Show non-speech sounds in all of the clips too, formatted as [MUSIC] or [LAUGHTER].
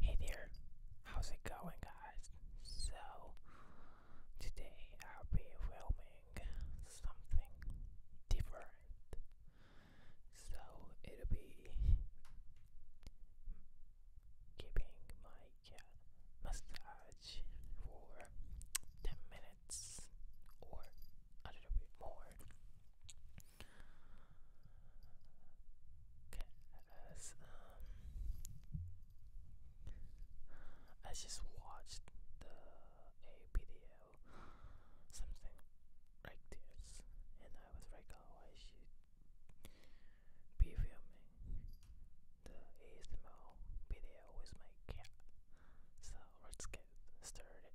Hey there, how's it going, guys? So, today I'll be filming something different. So, it'll be giving my uh, massage for 10 minutes or a little bit more. Okay, as um, I just watched the a something like this, and I was like, oh, I should be filming the ASMR video with my cat. So let's get started.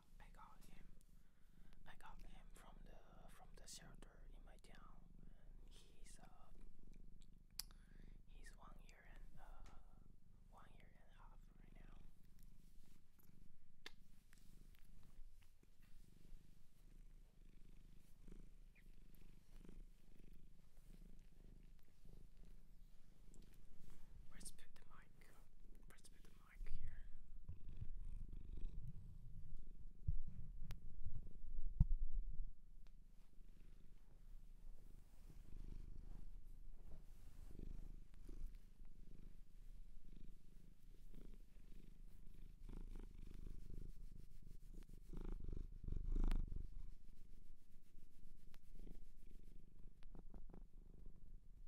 I got him I got him from the from the shelter in my town he's uh, he's one year and uh, one year and a half right now let the mic. Let's put like here. He's super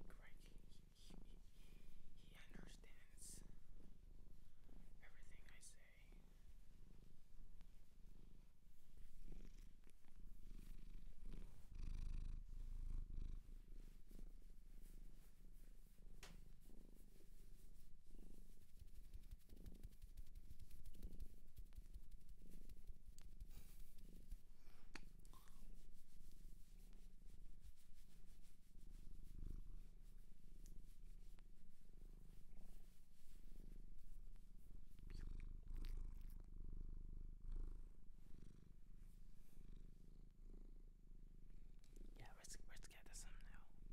unique like he, he understands everything I say. Yeah, let's let's get to some now. Hey.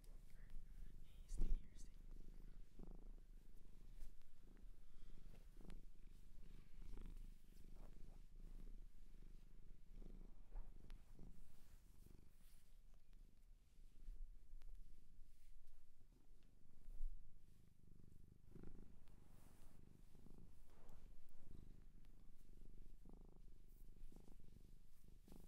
Hey, stay here, stay here. Don't bite. Good.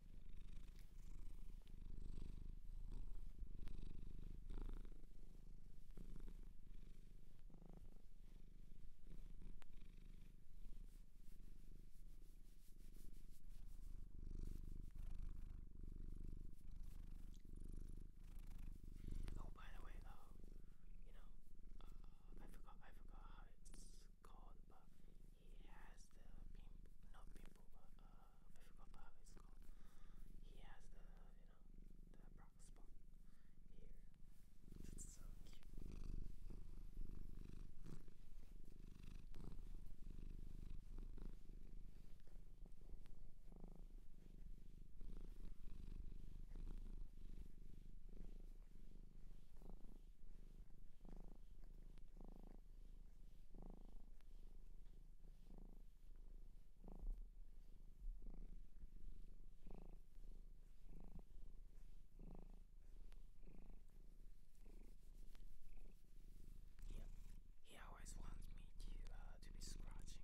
Oh, by the way, oh, you know, uh, I forgot, I forgot how it's called, but he has the not pimple, but uh, I it's called. He has the, you know, the brown spot here. It's so cute. He, he always wants me to uh, to be scratching his face.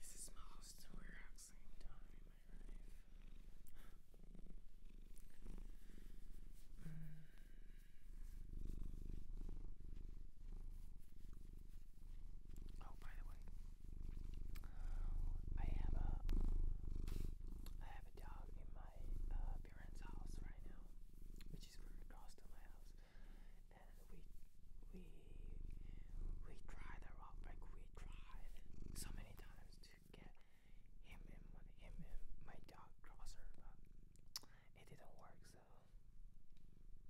This is my most relaxing time. Oh, by the way, I have a I have a dog in my uh, parents' house right now, which is across to my house, we we we tried the rock like we tried so many times to get him and him and my dog crosser, but it didn't work. So.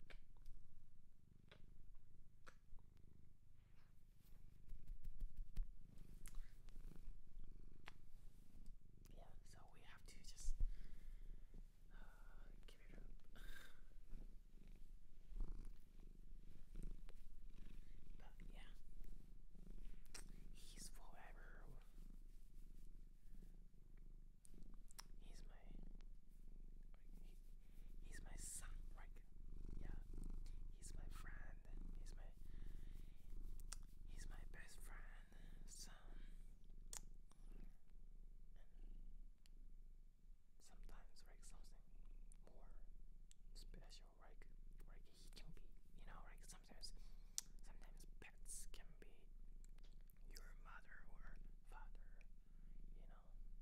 Yeah, so we have to just uh, give it up. But yeah, he's forever. He's my. he's my son, right? Yeah, he's my friend. He's my. He's my best friend, son sometimes like something more special like like he can be you know like sometimes sometimes pets can be your mother or father you know like they're very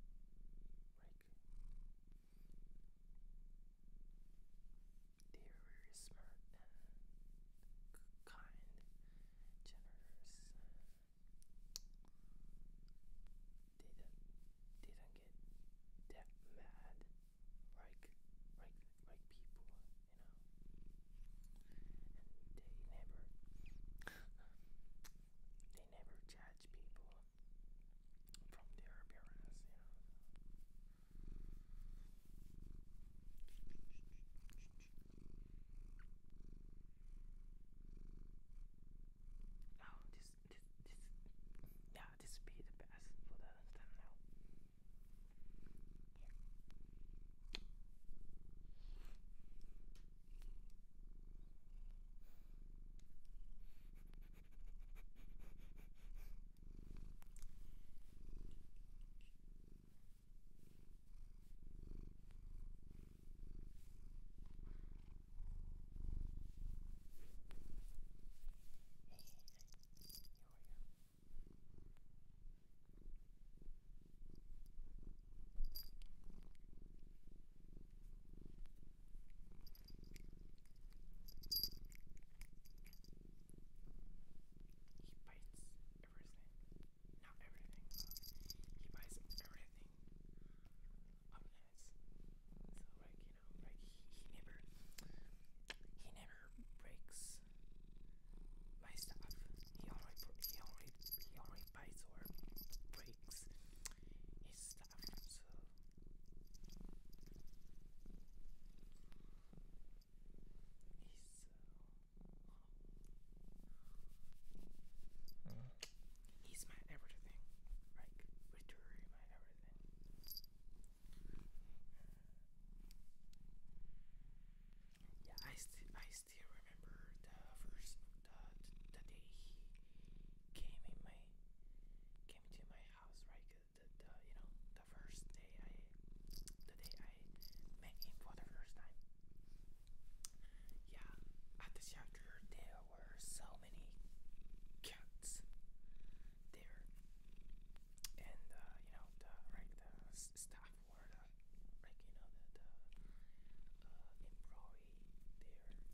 smart and kind generous didn't didn't get that mad like like like people you know and they never they never judge people from their appearance you know Oh, this, this, this, yeah, this would be the best for the he bites everything. Not everything, but he bites everything up So like you know, like he, never he never breaks my stuff. He already he already he already bites or breaks his stuff. So he's uh, Mm. He's my everything. Like literally my everything. Yeah, I still I still remember the first the, the day he came in my came to my house, right? The, the you know the first day I the day I met him for the first time. Yeah, at the shelter there were so many cats there, and uh, you know the like staff were like you know the, the uh, employee there. He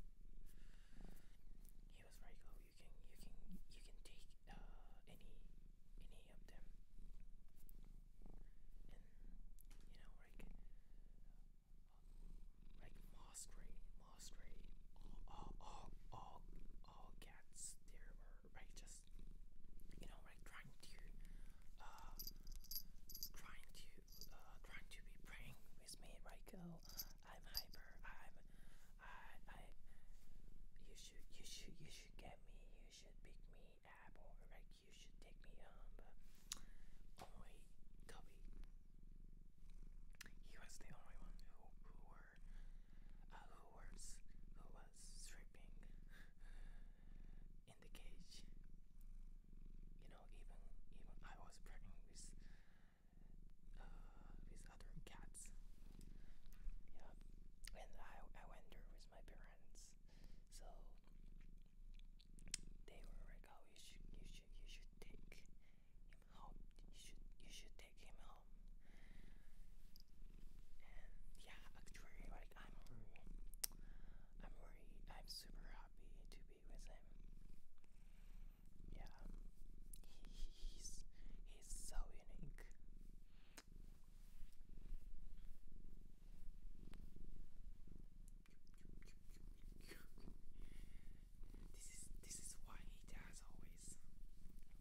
was like, oh, you can you can you can take uh, any any of them you know uh, like like moss gray, all all all all, all there right just you know like trying to uh trying to uh trying to be praying with me right oh, go I'm hyper I'm I I you should you should you should get me you should pick me up or like you should take me home, um, but only oh, Toby. He was the only one who who were uh, who was who was stripping in the cage. You know, even even I was pregnant with uh, with other cats. Yeah, and I I went there with my parents, so they were like, "Oh, you should, you should, you should take him home. You should, you should take him home." And yeah, actually, like I'm, I'm worried. I'm super happy to be with him. Yeah, he's he's so unique. This is this is what he does always.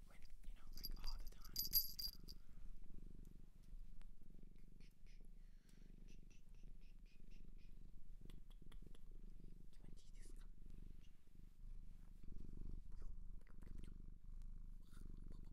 When you know, like all the time. Twenty this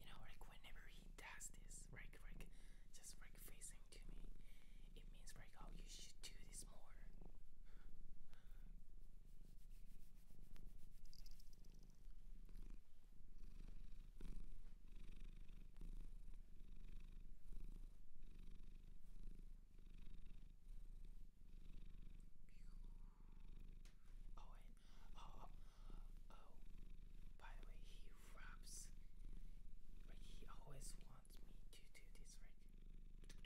you know, like whenever he does this, like, like, just like facing to me, it means like, oh, you should do this more. Oh, Oh, oh, by the way, he raps. Like, he always wants me to do this, right?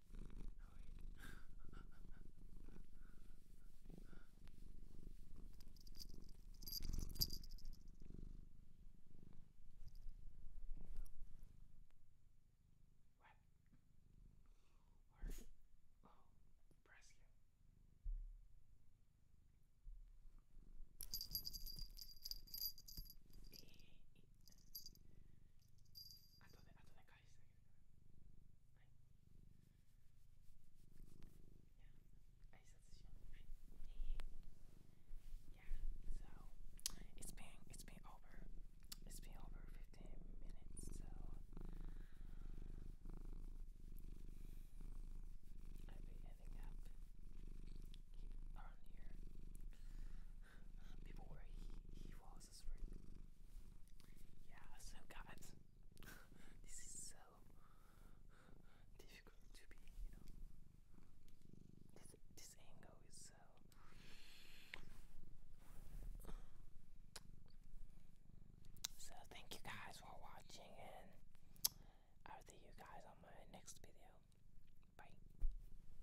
What? Or, oh, press you. あとねあとね返してあげるからはいいや挨拶しようはい Yeah, so it's been it's been over it's been over 15 minutes so I'll be ending up around here. Before he he was yeah, so guys, [LAUGHS] this is so difficult to be, you know. This this angle is so. So thank you guys for watching, and I'll see you guys on my next video. Bye.